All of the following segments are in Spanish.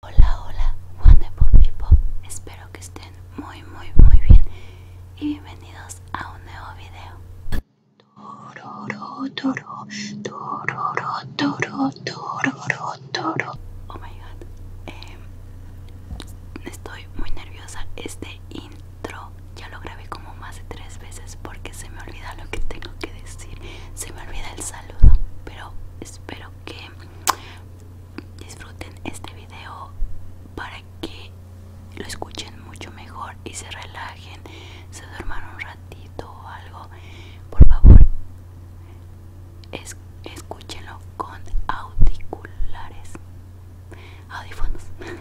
Hola, hola, y people. Espero que estén muy, muy, muy bien y bienvenidos a un nuevo video. Toro, Oh my god, em, estoy muy nerviosa. Este intro ya lo grabé como más de tres veces porque se me olvida lo que tengo que decir. Se me olvida el saludo, pero espero que disfruten este video para que lo escuchen mucho mejor y se relajen, se duerman un ratito o algo. Por favor, escúchenlo con audiculares, audífonos.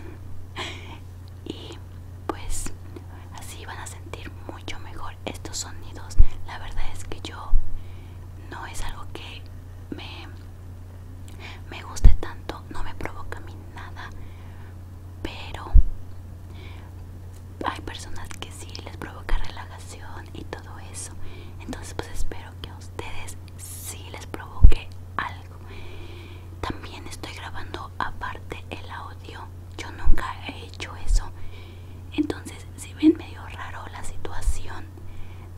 y pues así van a sentir mucho mejor estos sonidos. La verdad es que yo no es algo que me, me guste tanto, no me provoca a mí nada, pero hay personas que sí les provoca relajación y todo eso. Entonces pues espero que a ustedes sí les provoque algo. También estoy grabando aparte el audio. Yo nunca he hecho eso. Entonces, si ven medio raro la situación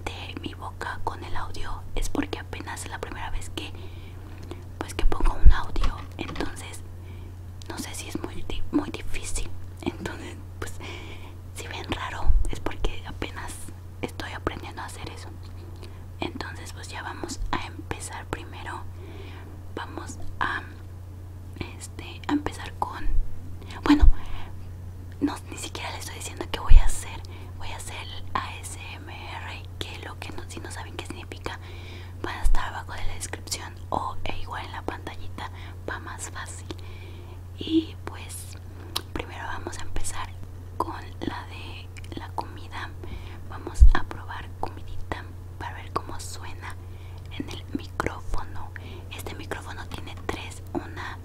de mi boca con el audio, es porque apenas es la primera vez que pues que pongo un audio, entonces no sé si es muy muy difícil. Entonces, pues si bien raro es porque apenas estoy aprendiendo a hacer eso. Entonces, pues ya vamos a empezar primero. Vamos a este, a empezar con... Bueno, no, ni siquiera les estoy diciendo que voy a hacer. Voy a hacer el ASMR, que lo que no, si no saben qué significa, van a estar abajo de la descripción o e igual en la pantallita, va más fácil. Y pues primero vamos a empezar con la de la comida. Vamos a probar comidita para ver cómo suena en el micrófono. Este micrófono tiene tres una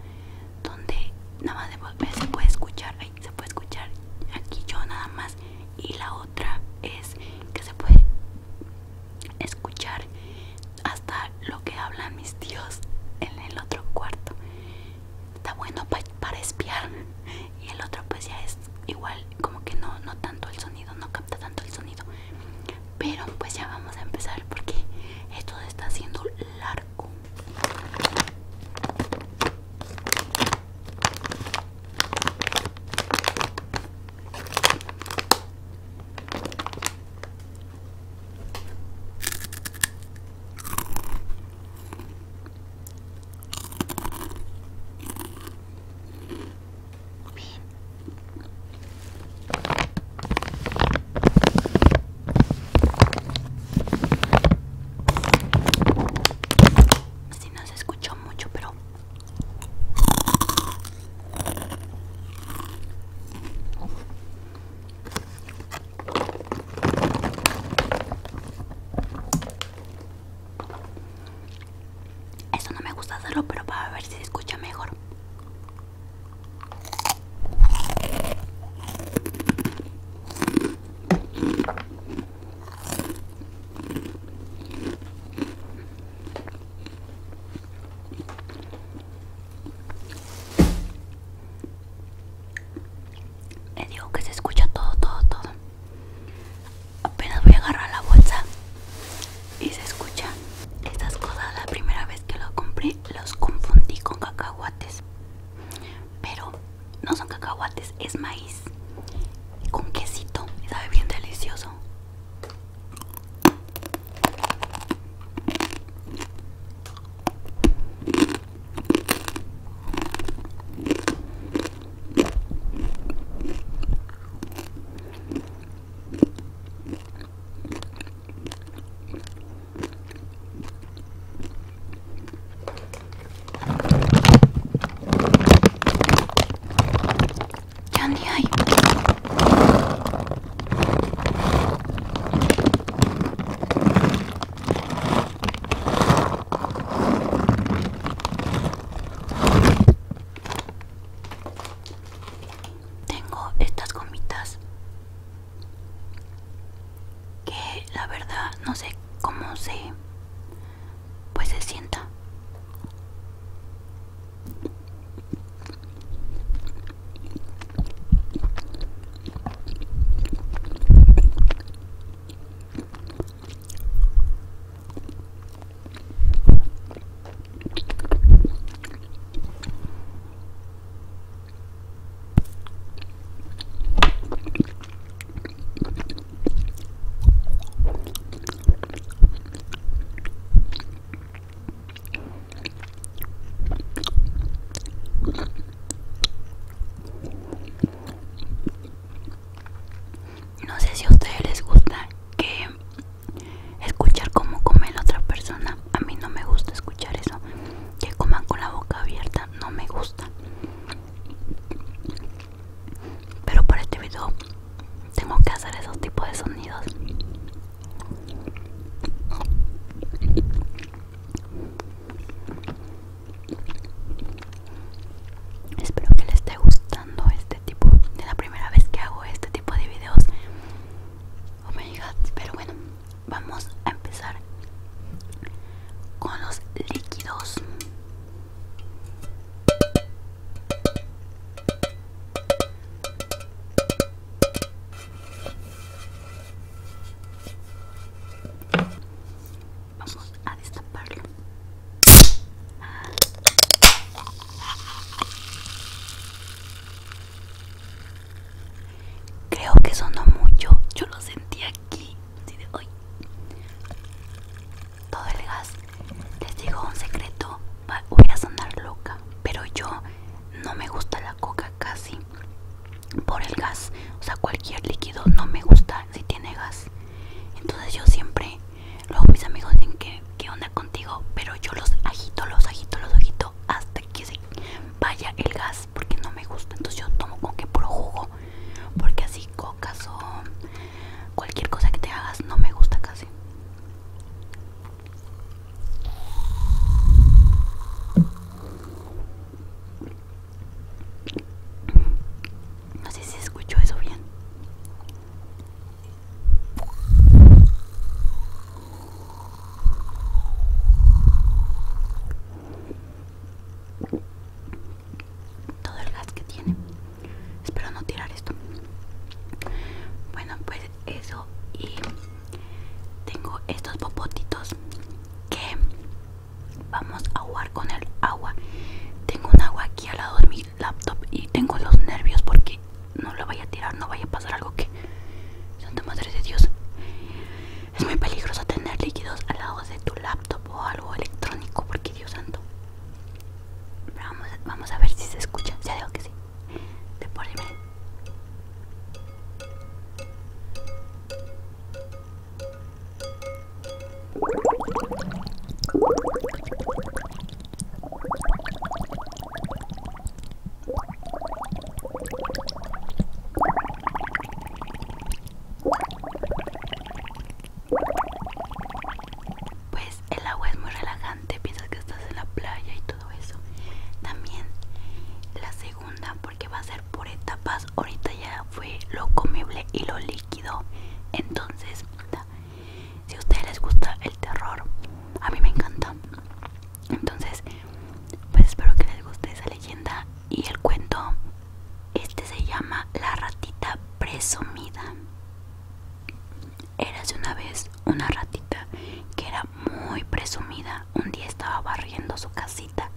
donde nada más se, se puede escuchar ahí se puede escuchar aquí yo nada más y la otra es que se puede escuchar hasta lo que hablan mis tíos en el otro cuarto está bueno para espiar y el otro pues ya es igual como que no no tanto el sonido no capta tanto el sonido pero pues ya vamos a empezar porque esto se está haciendo largo si no se escuchó mucho, pero eso no me gusta hacerlo, pero para ver si se escucha mejor. Le digo que se escucha todo, todo, todo. Apenas voy a agarrar la bolsa y se escucha. Estas cosas la primera vez que lo compré los confundí con cacahuates pero no son cacahuates es maíz con quesito y sabe bien delicioso Candy hay. Tengo estas gomitas que la verdad no sé cómo se pues se sienta no sé si a ustedes les gusta que escuchar cómo come la otra persona. A mí no me gusta escuchar eso. Que coman con la boca abierta, no me gusta. Pero para este video tengo que hacer esos tipos de sonidos. Espero que les esté gustando este tipo. Es la primera vez que hago este tipo de videos. o oh me pero bueno vamos a empezar con los líquidos vamos a destaparlo Creo que sonó mucho. Yo lo sentí aquí. hoy. Todo el gas. Les digo un secreto. Voy a sonar loca. Pero yo no me gusta la coca casi. Por el gas. O sea, cualquier líquido no me gusta si tiene gas. Entonces yo siempre. Luego mis amigos dicen que qué onda contigo. Pero yo los agito, los agito, los agito hasta que se vaya el gas porque no me gusta entonces yo tomo como que puro jugo porque así cocas o cualquier cosa que te hagas no me gusta casi no sé si escucho eso bien todo el gas que tiene espero no tirar esto bueno pues eso y tengo estos popotitos que vamos a jugar con el agua tengo un agua aquí al lado de mi laptop y tengo los nervios porque no lo vaya a tirar no vaya a pasar algo que santa madre de Dios, es muy peligroso tener líquidos al lado de tu laptop o algo electrónico, porque Dios santo. vamos, a ver si se escucha, ya digo que sí. De pues el agua es muy relajante, piensas que estás en la playa y todo eso. También la segunda, porque va a ser por etapas. Ahorita ya fue lo comible y lo líquido. Entonces, si a ustedes les gusta el terror, a mí me encanta. Entonces, pues espero que les guste esa leyenda y el cuento. Este se llama La ratita presumida. de una vez una ratita que era muy presumida. Un día estaba barriendo su casita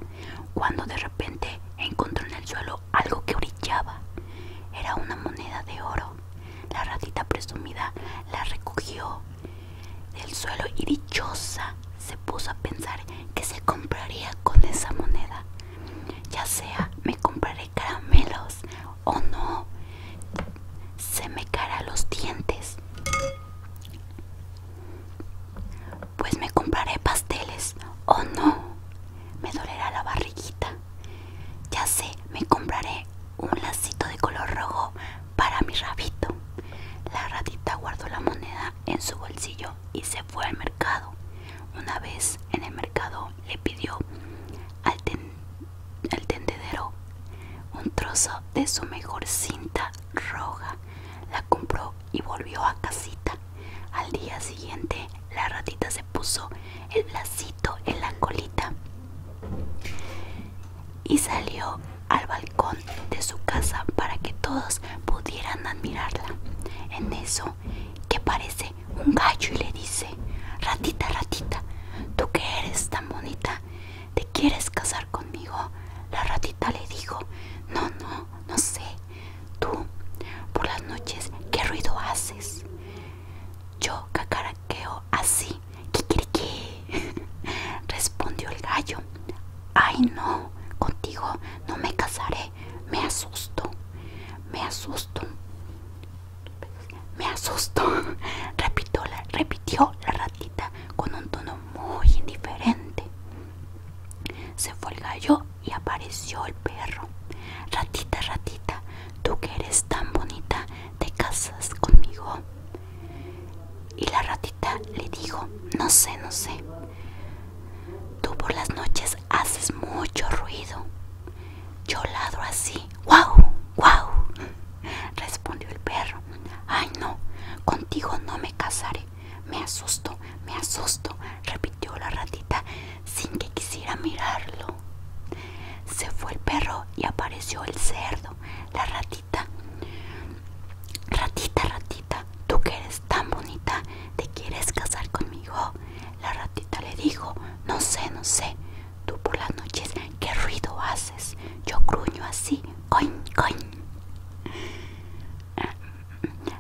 cuando de repente encontró en el suelo algo que brillaba. Era una moneda de oro. La ratita presumida la recogió del suelo y dichosa se puso a pensar que se compraría con esa moneda. Ya sea me compraré caramelos o no, se me caerán los dientes. Pues me compraré pasteles o no, me dolerá la barriguita. Ya sé, me compraré un lacito de color rojo para mi rabito. La ratita guardó la moneda en su bolsillo y se fue al mercado. Una vez en el mercado le pidió al, tendedero un trozo de su mejor cinta roja. La compró y volvió a casita. Al día siguiente la ratita se puso el lacito en la colita y salió al balcón de su casa para que todos pudieran admirarla. En eso, que parece un gallo y le dice, ratita, ratita, tú que eres tan bonita, ¿te quieres casar conmigo? La ratita le dijo, no, no, no sé, tú, por las noches, ¿qué ruido haces? Yo cacaraqueo así, kikiriki. respondió el gallo. Ay no, contigo no me casaré, me asusto, me asusto, me asusto, repitió la, ratita con un tono muy indiferente. Se fue el gallo y apareció el perro. Ratita, ratita, tú que eres tan bonita, ¿te casas conmigo? Y la ratita le dijo, no sé, no sé, tú por las noches haces mucho ruido. Yo ladro así, guau, guau, respondió el perro. Ay no, contigo no me casaré, me asusto, me asusto, repitió la ratita sin que quisiera mirarlo. Se fue el perro y apareció el cerdo. La ratita ratita Ratita, tú que eres tan bonita, ¿te quieres casar conmigo? La ratita le dijo, no sé, no sé, tú por las noches, ¿qué ruido haces? Yo gruño así, coin, coin.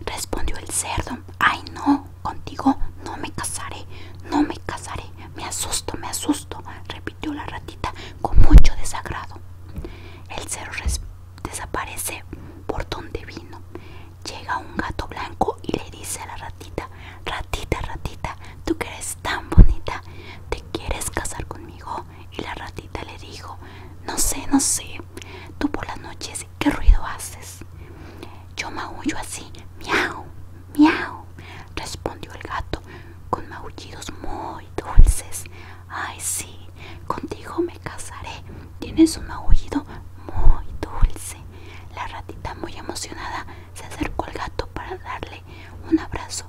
Respondió el cerdo, ay no, contigo no me casaré, no me casaré, me asusto, me asusto, repitió la ratita con mucho desagrado. El cerdo desaparece por donde vino. Llega un gato blanco y le dice a la ratita, ratita, ratita, tú que eres tan bonita, ¿te quieres casar conmigo? Y la ratita le dijo, no sé, no sé, tú por las noches, ¿qué ruido haces? Yo maullo así, miau, miau, respondió el gato con maullidos muy dulces. Ay, sí, contigo me casaré. Tienes un aullido muy dulce. La ratita, muy emocionada, se acercó al gato para darle un abrazo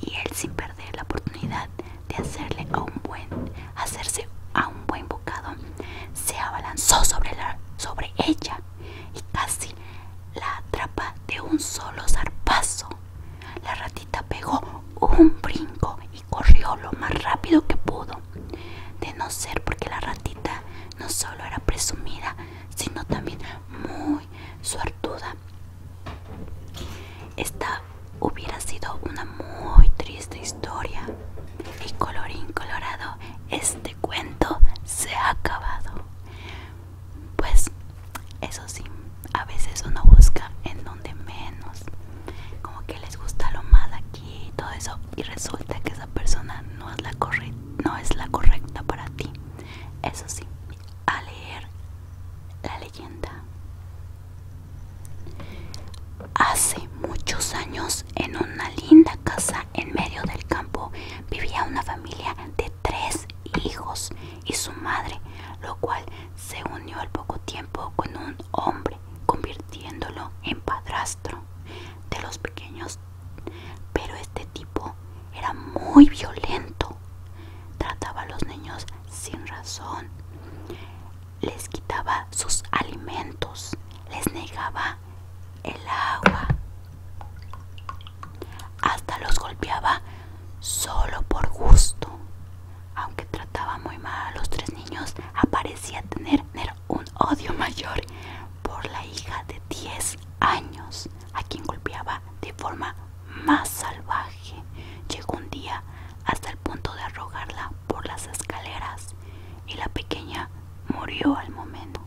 y él, sin perder la oportunidad de hacerle un buen, hacerse a un buen bocado, se abalanzó sobre, sobre ella y casi la atrapa de un solo zarpazo. La ratita pegó un brinco y corrió lo más rápido que pudo. De no ser porque la ratita no solo era presumida, sino también muy suertuda. Esta hubiera sido una muy triste historia. Y colorín colorado, este cuento se ha acabado. Pues eso sí, a veces uno busca en donde menos, como que les gusta lo malo aquí y todo eso, y resulta que esa persona no es la, no es la correcta para ti. Eso sí, a leer la leyenda. Hace muchos años, en una linda casa en medio del campo, vivía una familia de tres hijos y su madre, lo cual se unió al poco tiempo con un hombre, convirtiéndolo en padrastro de los pequeños. Pero este tipo era muy violento, trataba a los niños sin razón, les quitaba sus alimentos, les negaba el agua, hasta los golpeaba solo por gusto. Aunque trataba muy mal a los tres niños, aparecía tener, un odio mayor por la hija de 10 años, a quien golpeaba de forma más salvaje. Llegó un día hasta el punto de arrojarla por las escaleras y la pequeña murió al momento.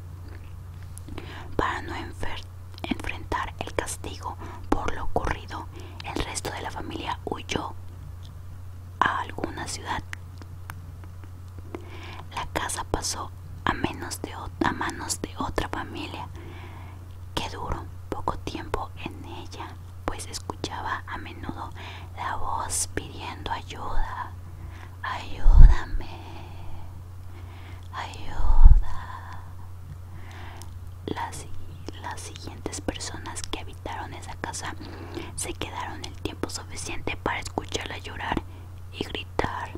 Para no enfrentar el castigo por lo ocurrido, el resto de la familia huyó a alguna ciudad. La casa pasó a, manos de otra familia que duró poco tiempo en ella, pues escuchaba a menudo la voz pidiendo ayuda. Ayúdame. Ayuda. Las, las siguientes personas que habían esa casa se quedaron el tiempo suficiente para escucharla llorar y gritar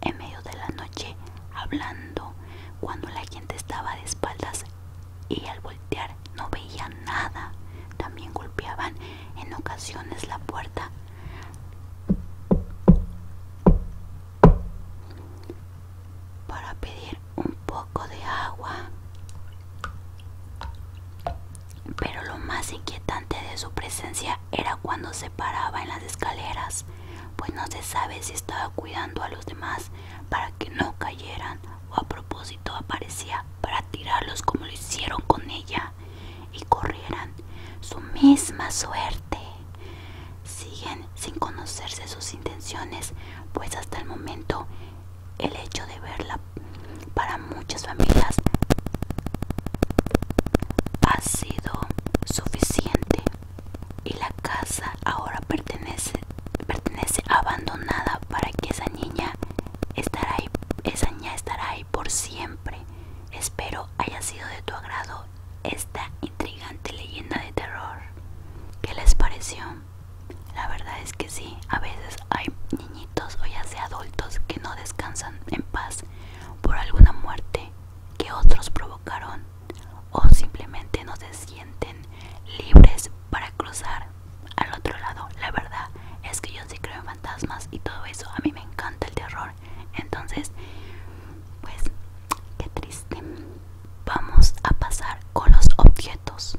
en medio de la noche hablando cuando la gente estaba de espaldas y al voltear no veían nada también golpeaban en ocasiones la puerta para pedir un poco de agua. Pero lo más inquietante de su presencia era cuando se paraba en las escaleras, pues no se sabe si estaba cuidando a los demás para que no cayeran o a propósito aparecía para tirarlos como lo hicieron con ella y corrieran su misma suerte. Siguen sin conocerse sus intenciones, pues hasta el momento el hecho de verla para muchas familias ha sido suficiente y la casa ahora pertenece, abandonada para que esa niña estará ahí, esa niña estará ahí por siempre. Espero haya sido de tu agrado esta intrigante leyenda de terror. ¿Qué les pareció? La verdad es que sí, a veces hay niñitos o ya sea adultos que no descansan en paz por alguna muerte que otros provocaron o simplemente no se sienten libres para cruzar al otro lado. La verdad es que yo sí creo en fantasmas y todo eso, a mí me encanta el terror. Entonces, pues, qué triste vamos a pasar con los objetos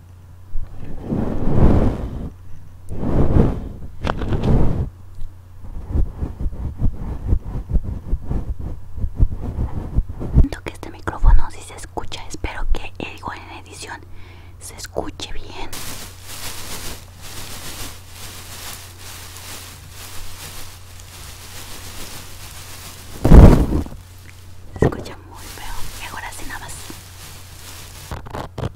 Siento que este micrófono si se escucha, espero que igual en edición se escuche bien. Se escucha muy feo. Y ahora nada más recuerdan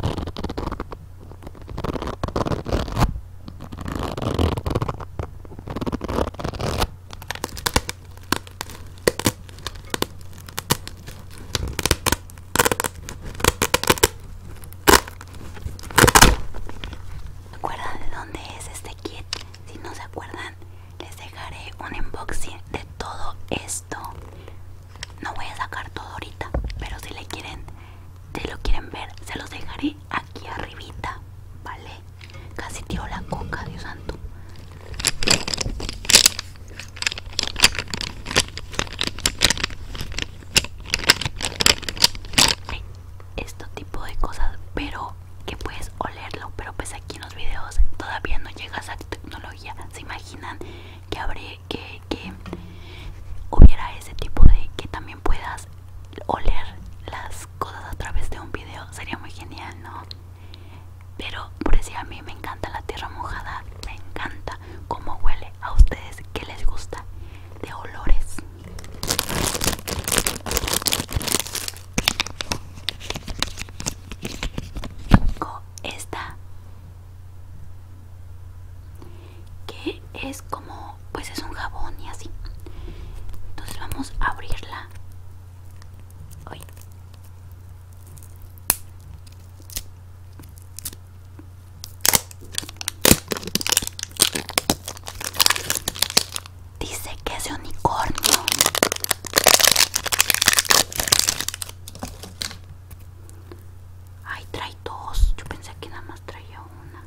de dónde es este kit. Si no se acuerdan, les dejaré un unboxing de todo esto no voy a sacar todo ahorita, pero si le quieren, te lo quieren ver, se los dejaré aquí arribita, ¿vale? Casi tiro la coca, Dios santo. este tipo de cosas, pero que puedes olerlo, pero pues aquí en los videos todavía no llegas a tecnología. ¿Se imaginan que habré que, hubiera ese tipo de que también puedas oler las cosas a través de un video sería muy genial no pero por decir a mí me encanta la tierra mojada me encanta cómo huele a ustedes que les gusta de olores esta que es como pues es un jabón y así entonces vamos a abrirla dice que es unicornio Ay, trae dos. Yo pensé que nada más traía una.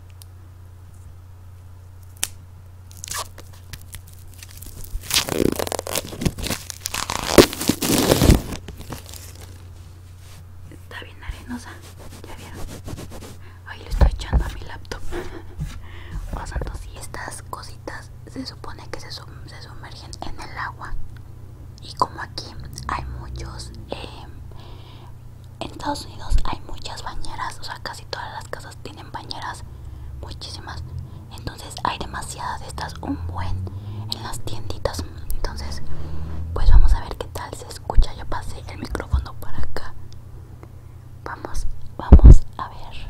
Está bien arenosa, ya vieron. Ahí le estoy echando a mi laptop. Pasando oh, sea, estas cositas se supone que se sumergen en el agua y como aquí hay muchos eh, en Estados Unidos hay muchas bañeras o sea casi todas las casas tienen bañeras muchísimas entonces hay demasiadas de estas un buen en las tienditas entonces pues vamos a ver qué tal se escucha yo pasé el micrófono para acá vamos vamos a ver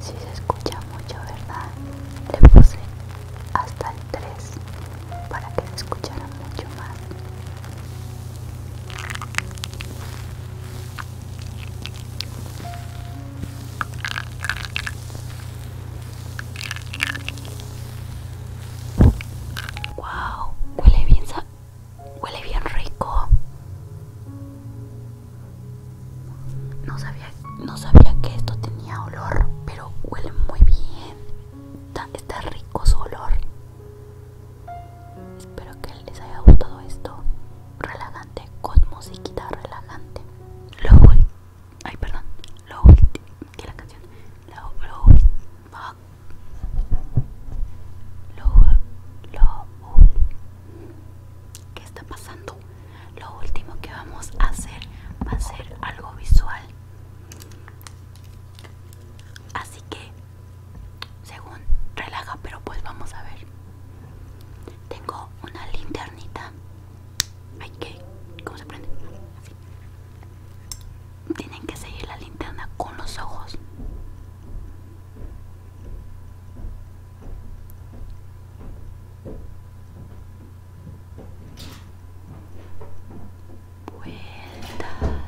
Si se escucha mucho, ¿verdad? Le puse hasta el 3 para que se escuchara mucho más. Wow, huele bien, huele bien rico. No sabía, que esto tenía olor, pero huele muy bien. está rico su olor. Espero que les haya gustado esto relajante con musiquita relajante. Lo ay, perdón, que la canción, lo lo ¿Qué está pasando? Lo último que vamos a hacer va a ser algo visual. Así que según relaja, pero pues vamos a ver. Tengo una linternita. Ay, que... ¿Cómo se prende? Tienen que seguir la linterna con los ojos. Vueltas.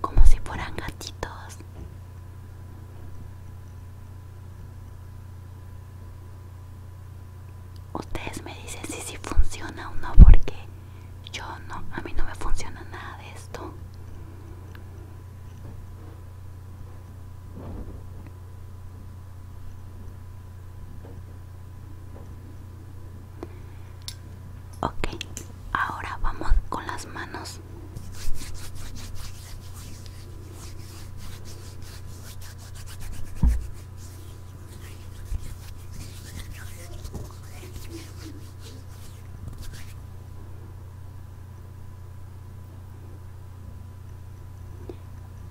Como si fueran gatitos. Ustedes me dicen si sí funciona o no porque yo no, a mí no me funciona nada de esto. Ok, ahora vamos con las manos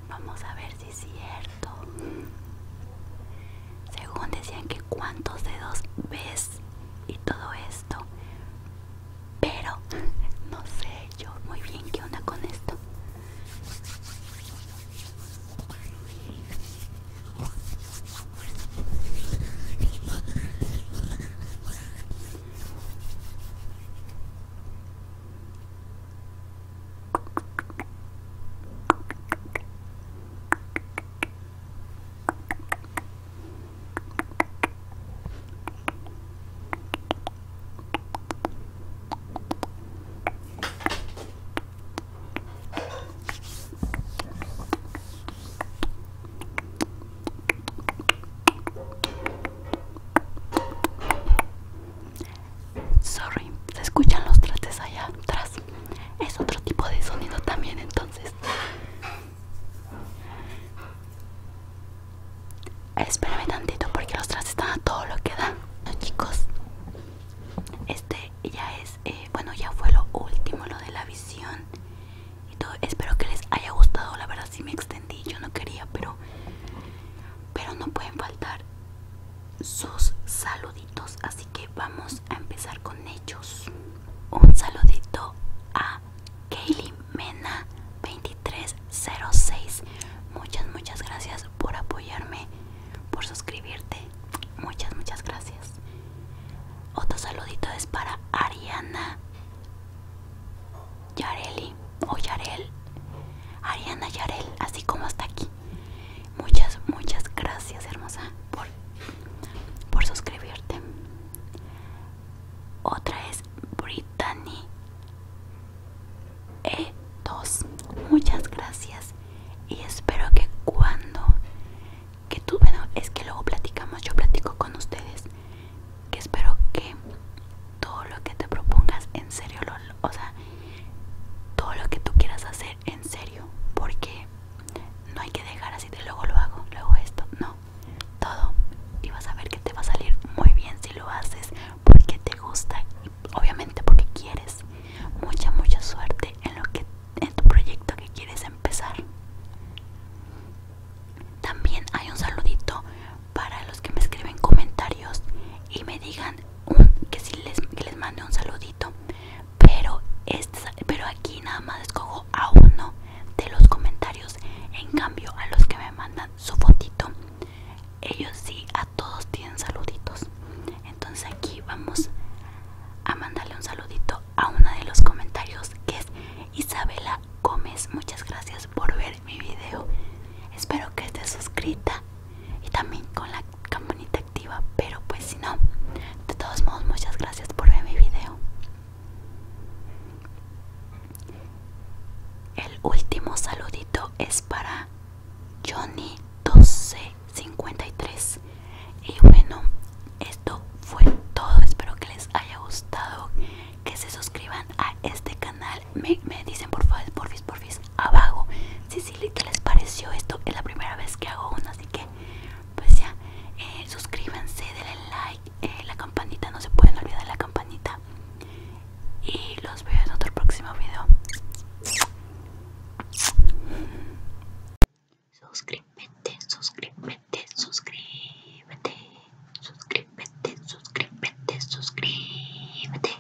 Vamos a ver si es cierto. Según decían que cuántos dedos ves y todo esto, pero no sé yo muy bien qué onda con esto. Sorry, se escuchan los trates allá atrás. Es otro tipo de sonido también, entonces. Espérame tantito porque los tras están a todo lo que dan. No chicos, este ya es, eh, bueno, ya fue lo último, lo de la visión y todo. Espero que les haya gustado. La verdad, sí me extendí, yo no quería, pero, pero no pueden faltar sus saluditos. Así que vamos a empezar con ellos. Un saludito a Kaylee Mena 2306. Muchas, muchas gracias por apoyarme, por suscribirte. Muchas, muchas gracias. Otro saludito es para Ariana Yareli o Yarel. Ariana Yarel, así como está aquí. Muchas, muchas gracias, hermosa, por, por suscribirte. Otra es Brittany e2. Muchas gracias. Y espero que cuando que tú, bueno, es que luego platicamos, yo platico con ustedes, que espero que todo lo que te propongas en serio, lo, o sea, todo lo que tú quieras hacer en serio, porque no hay que dejar así de luego lo hago, luego esto, no, todo, y vas a ver que te va a salir muy bien si lo haces porque te gusta y obviamente porque quieres. Mucha, mucha suerte en lo que en tu proyecto que quieres empezar. También hay un saludito para los que me escriben comentarios y me digan que si les, que les mande un saludito. Pero, este, pero aquí nada más escojo a uno de los comentarios. En cambio, a los que me mandan su fotito ellos sí a todos tienen saluditos entonces aquí vamos a mandarle un saludito a una de los comentarios que es Isabela Gómez muchas gracias por ver mi video espero que estés suscrita y también con la campanita activa pero pues si no de todos modos muchas gracias por ver mi video el último saludito es para Johnny 1253. Y bueno, esto fue todo. Espero que les haya gustado. Que se suscriban a este canal. Me, me dicen por favor, porfis, porfis, abajo. Si sí, les pareció esto? Es la primera vez que hago uno, así que pues ya, eh, suscríbanse, denle like, eh, la campanita, no se pueden olvidar la campanita y los veo en otro próximo video suscríbete suscríbete suscríbete suscríbete suscríbete suscríbete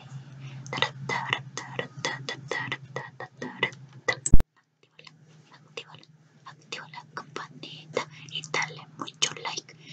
activa la campanita y dale mucho like